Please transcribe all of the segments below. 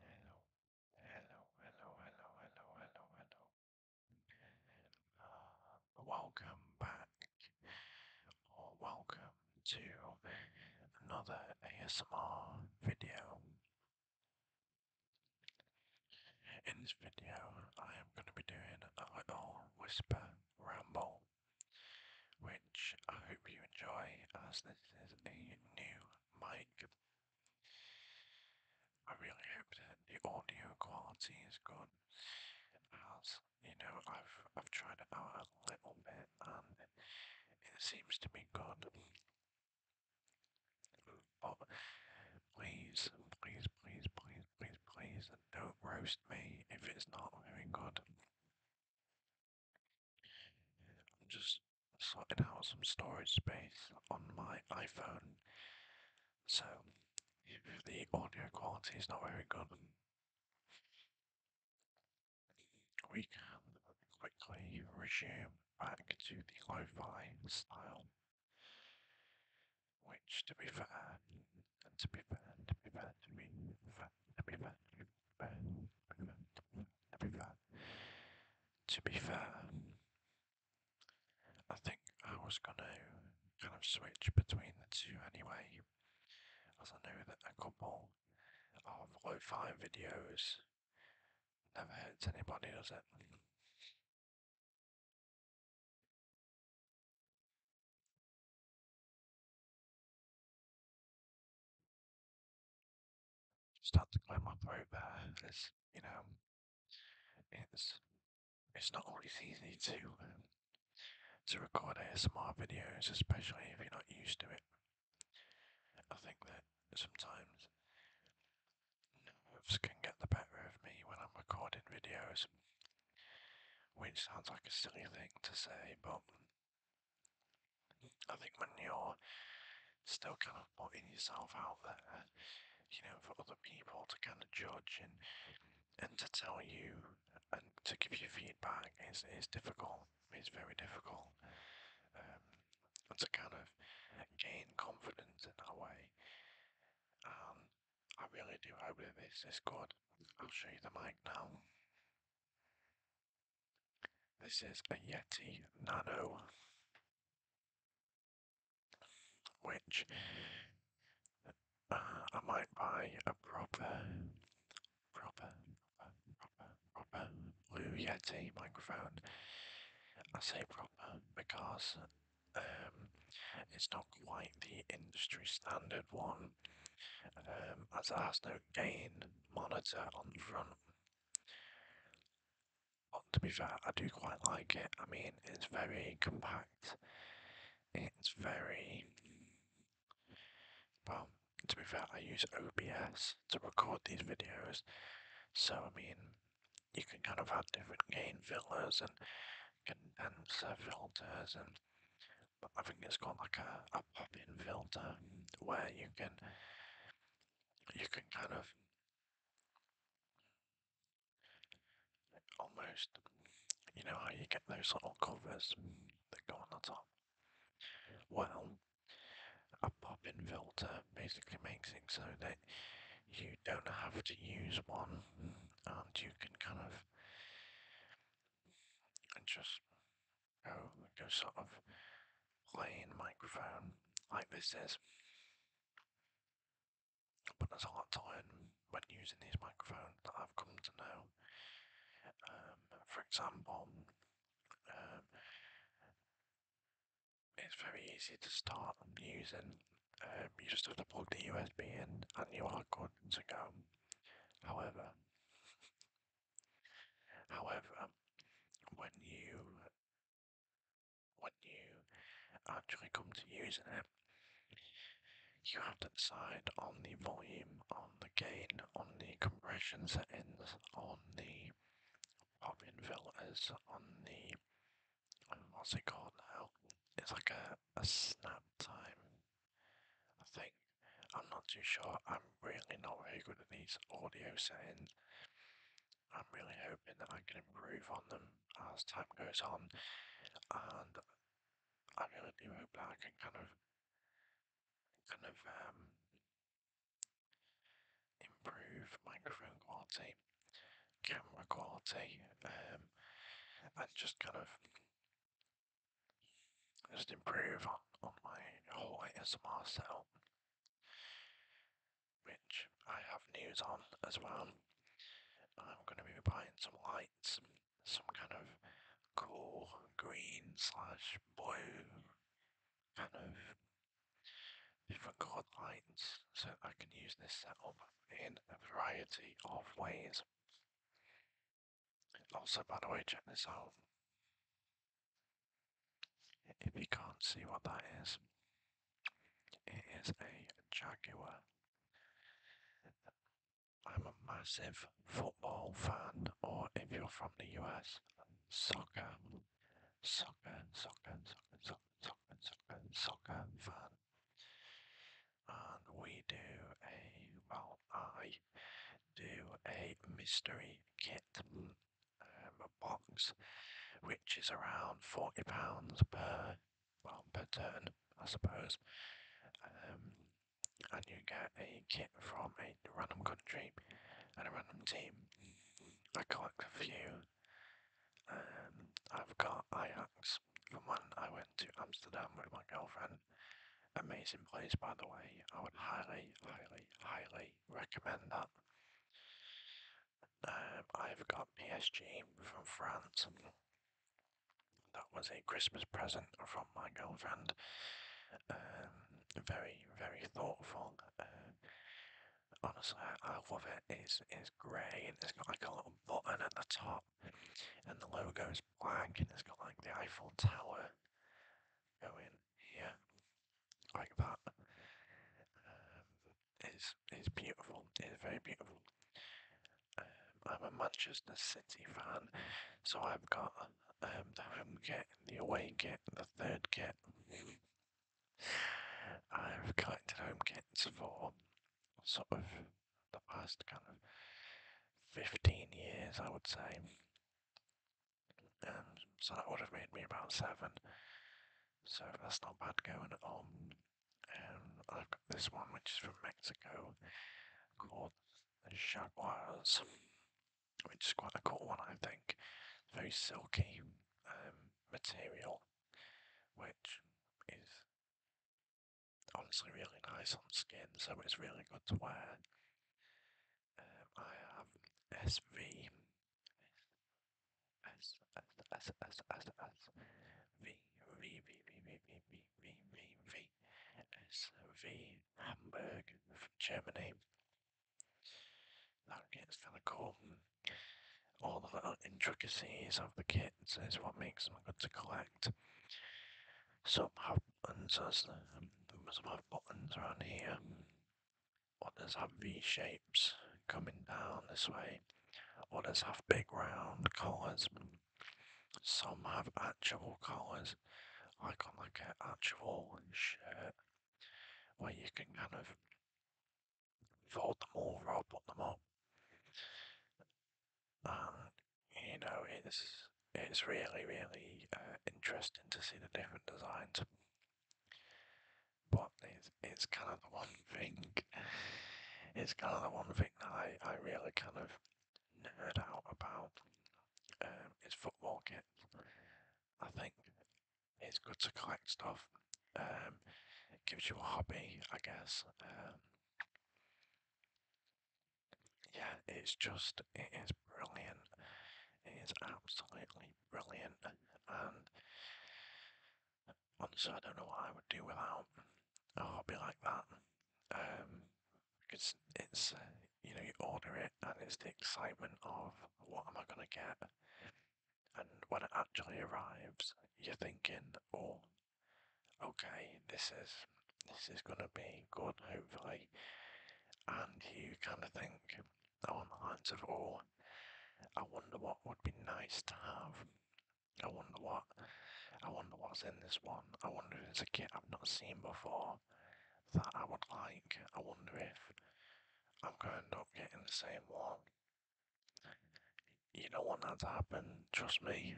Hello, hello, hello, hello, hello, hello, hello. welcome back, uh, or welcome to another ASMR video. In this video, I am going to be doing a little whisper ramble, which I hope you enjoy as this is a new mic. I really hope that the audio quality is good. As you know, I've I've tried it out a little bit and it seems to be good. But please, please, please, please, please, please, don't roast me if it's not very good. I'm just sorting out some storage space on my iPhone. So, if the audio quality is not very good, we can quickly resume back to the lo fi style. Which, to be fair, to be fair, to be fair, to be fair, to be fair, to be fair to be fair, I think I was going to kind of switch between the two anyway, as I know a couple of low fi videos never hurts anybody, does it? Start to climb up over. It's you know, it's it's not always easy to um, to record ASMR videos, especially if you're not used to it. I think that sometimes nerves can get the better of me when I'm recording videos, which sounds like a silly thing to say, but I think when you're still kind of putting yourself out there, you know, for other people to kind of judge and and to tell you and to give you feedback is, is difficult. It's very difficult. Um, to kind of gain confidence in that way. Um, I really do hope that this is good. I'll show you the mic now. This is a Yeti Nano, which uh, I might buy a proper, proper, proper, proper Blue Yeti microphone. I say proper because um, it's not quite the industry standard one, um, as it has no gain monitor on the front. But to be fair, I do quite like it. I mean, it's very compact. It's very well. To be fair, I use OBS to record these videos, so I mean, you can kind of have different gain filters and condenser filters and I think it's got like a, a pop-in filter where you can you can kind of almost you know how you get those little covers that go on the top. Well, a pop-in filter basically makes it so that you don't have to use one and you can kind of just go oh, go sort of plain microphone like this is. But there's a lot to learn when using these microphones that I've come to know. Um, for example, um, it's very easy to start using. Um, you just have to plug the USB in and you are good to go. However, However, when you when you actually come to using it, you have to decide on the volume, on the gain, on the compression settings, on the popping filters, on the what's it called now? It's like a, a snap time I think. I'm not too sure. I'm really not very good at these audio settings. I'm really hoping that I can improve on them as time goes on, and I am really do hope that I can kind of, kind of um, improve microphone quality, camera quality, um, and just kind of just improve on, my whole ASMR setup, which I have news on as well. I'm going to be buying some lights, some kind of cool green slash blue kind of different coloured lights, so I can use this setup in a variety of ways. And also, by the way, check this out. If you can't see what that is, it is a Jaguar. I'm a massive football fan, or if you're from the US, soccer, soccer, soccer, soccer, soccer, soccer, soccer, soccer fan and we do a, well, I do a mystery kit um, box, which is around £40 per, well, per turn, I suppose. Um, and you get a kit from a random country and a random team. I collect a few. Um, I've got Ajax from when I went to Amsterdam with my girlfriend. Amazing place, by the way. I would highly, highly, highly recommend that. Um, I've got PSG from France. That was a Christmas present from my girlfriend. Um, very, very thoughtful. Uh, honestly, I love it. It's, it's grey and it's got like a little button at the top and the logo is black and it's got like the Eiffel Tower going here like that. Um, it's, it's beautiful, it's very beautiful. Um, I'm a Manchester City fan, so I've got um, the home kit, the away kit, the third kit. I've collected home kits for sort of the past kind of 15 years, I would say. so that would have made me about seven. So that's not bad going on. I've got this one which is from Mexico called the Jaguars, which is quite a cool one, I think. Very silky um, material, which is honestly really nice on skin, so it's really good to wear. I have SV, Hamburg from Germany. That gets kind of cool. All the little intricacies of the kits is what makes them good to collect correct. Some have buttons, as the, some have buttons around here. What does have V shapes coming down this way. What does have big round collars. Some have actual collars, like on like an actual shirt, where you can kind of fold them over or put them up you know, it's it's really really uh, interesting to see the different designs. But it's it's kind of the one thing. It's kind of the one thing that I I really kind of nerd out about. It's um, is football kit. I think it's good to collect stuff. Um, it gives you a hobby, I guess. Um, yeah, it's just it is brilliant. It is absolutely brilliant, and honestly, I don't know what I would do without a hobby like that. because um, it's you know you order it and it's the excitement of what am I gonna get, and when it actually arrives, you're thinking, oh, okay, this is this is gonna be good, hopefully. And you kind of think along the lines of, oh, I wonder what would be nice to have. I wonder what, I wonder what's in this one. I wonder if it's a kit I've not seen before that I would like. I wonder if I'm going to end up getting the same one you don't want that to happen, trust me.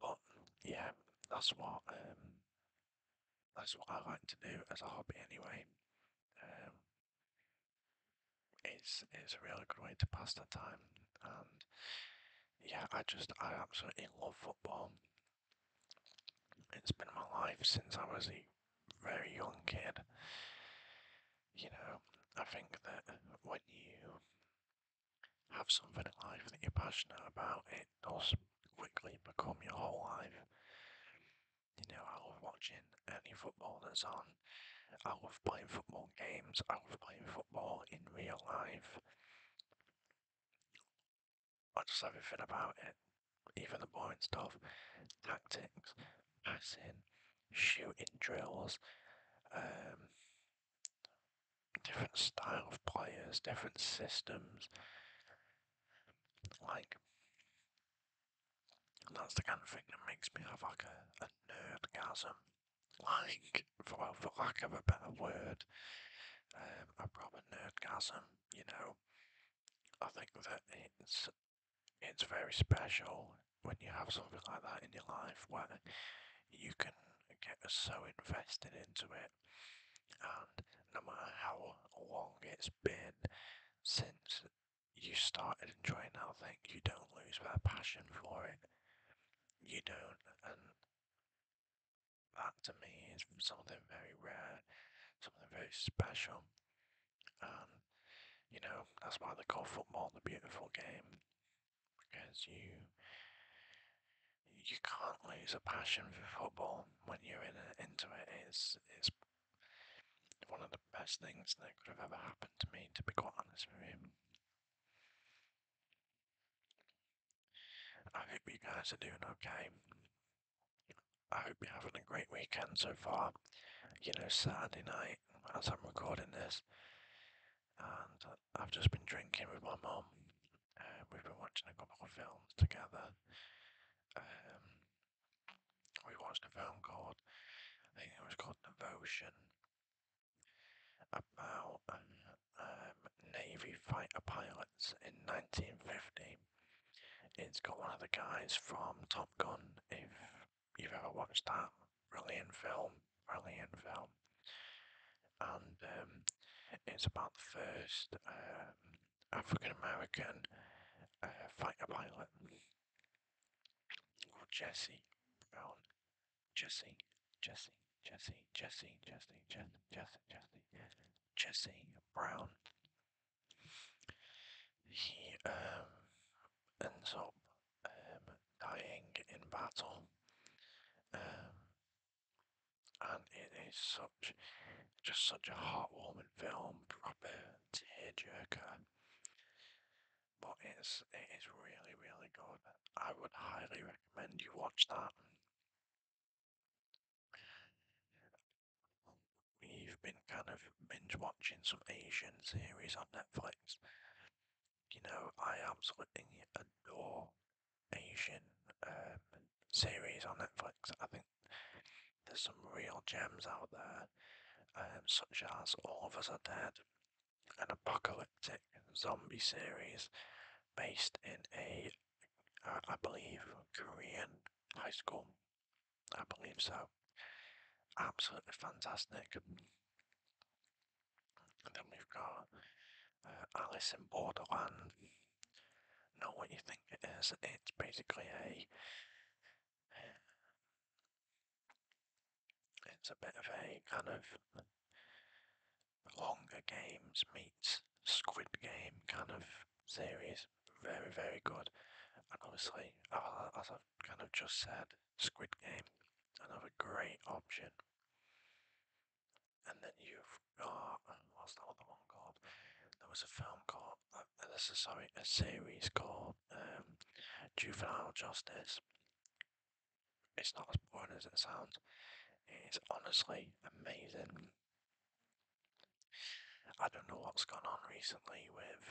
but yeah, that's what um, that's what I like to do as a hobby anyway. Um, it's it's a really good way to pass the time, and yeah, I just I absolutely love football. It's been my life since I was a very young kid you know, I think that when you have something in life that you're passionate about, it does quickly become your whole life. You know, I love watching any football that's on. I love playing football games. I love playing football in real life. I just love everything about it. Even the boring stuff, tactics, passing, shooting drills, um, different style of players, different systems. Like, that's the kind of thing that makes me have like a, a nerdgasm. Like, for, for lack of a better word, um, a proper nerdgasm, you know. I think that it's it's very special when you have something like that in your life where you can get so invested into it, and no matter how long it's been since you started enjoying that thing, you don't lose that passion for it. You don't, and that to me is something very rare, something very special. Um, you know, that's why they call football the beautiful game. Because you you can't lose a passion for football when you're in a, into it. It's, it's one of the best things that could have ever happened to me, to be quite honest with you. I hope you guys are doing okay. I hope you're having a great weekend so far. You know, Saturday night as I'm recording this, and uh, I've just been drinking with my mum. Uh, we've been watching a couple of films together. Um, we watched a film called, I think it was called Devotion, about um, Navy fighter pilots in 1950. It's got one of the guys from Top Gun, if you've ever watched that. Brilliant film, brilliant film. And um, it's about the first um, African American uh, fighter pilot called Jesse Brown. Jesse, Jesse, Jesse, Jesse, Jesse, Jesse, Jesse, Jesse, Jesse Brown. He um, ends up um, dying in battle. Um, and it is such, just such a heartwarming film, proper tearjerker. But it's it is really really good. I would highly recommend you watch that we've been kind of binge watching some Asian series on Netflix. You know, I absolutely adore Asian um, series on Netflix. I think there's some real gems out there, um, such as All of Us Are Dead, an apocalyptic zombie series based in a, I believe, Korean high school I believe so. Absolutely fantastic. And then we've got uh, Alice in Borderland. Not what you think it is. It's basically a. It's a bit of a kind of longer games meets Squid Game kind of series very, very good. And obviously, as I've kind of just said, Squid Game, another great option. And then you've got, what's the other one called? There was a film called, uh, this is sorry, a series called um, Juvenile Justice. It's not as boring as it sounds. It's honestly amazing. I don't know what's gone on recently with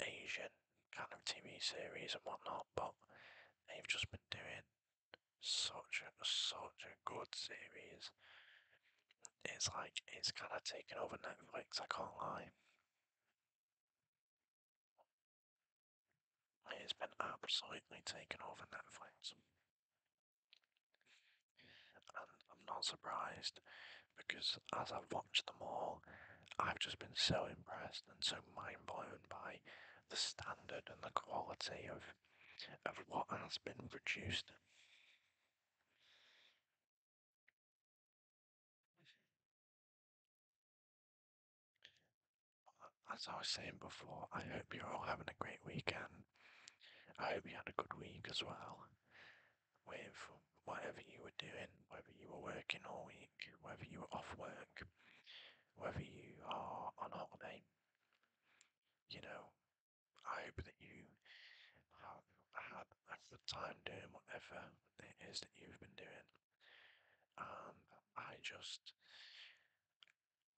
Asian kind of TV series and whatnot, but they've just been doing such a such a good series. It's like it's kind of taken over Netflix. I can't lie. It's been absolutely taken over Netflix. I'm not surprised because as I've watched them all, I've just been so impressed and so mind blown by the standard and the quality of of what has been produced. As I was saying before, I hope you're all having a great weekend. I hope you had a good week as well with whatever you were doing, whether you were working all week, whether you were off work, whether you are on holiday. You know, I hope that you have had a good time doing whatever it is that you've been doing. And I just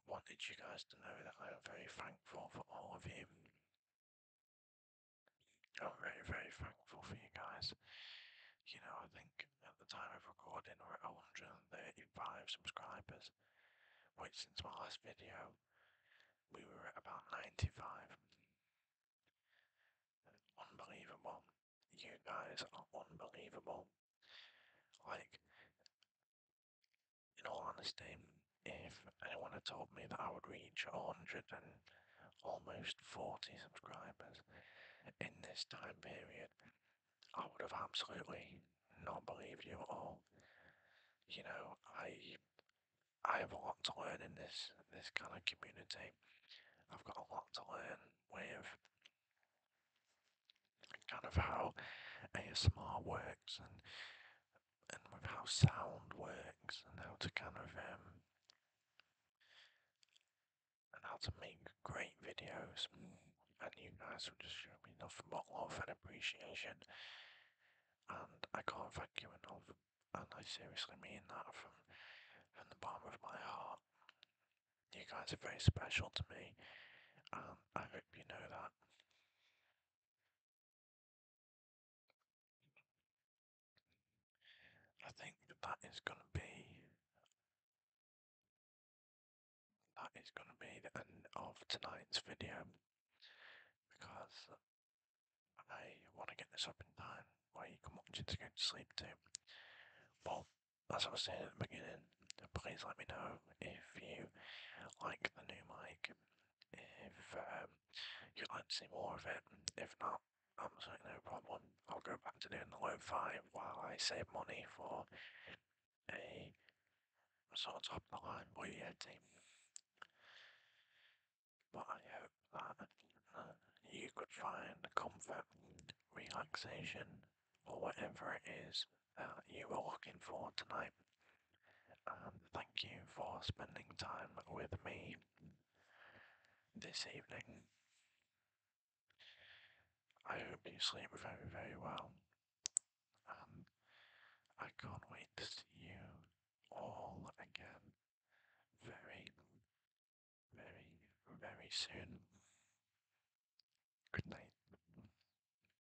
wanted you guys to know that I am very thankful for all of you I'm very, very thankful for you guys. You know, I think at the time of recording, we're at 135 subscribers, which since my last video, we were at about 95. Unbelievable. You guys are unbelievable. Like, in all honesty, if anyone had told me that I would reach 100 and almost 40 subscribers in this time period, I would have absolutely not believed you at all. You know, I I have a lot to learn in this this kind of community. I've got a lot to learn with kind of how ASMR works and and with how sound works and how to kind of um, and how to make great videos. And you guys have just shown me enough love and appreciation. And I can't thank you enough. And I seriously mean that from from the bottom of my heart. You guys are very special to me, and I hope you know that. I think that is going to be that is going to be the end of tonight's video because I want to get this up in time where you can watch it to go to sleep to. But as I was saying at the beginning, please let me know if you like the new mic if um, you'd like to see more of it. If not, I'm sorry, no problem. I'll go back to doing the low five while I save money for a sort of top of the line Blue Yeti. But I hope that uh, you could find comfort, relaxation, or whatever it is uh, you were looking for tonight. And thank you for spending time with me this evening. I hope you sleep very, very well. And um, I can't wait to see you all again very, very, very soon. Good night.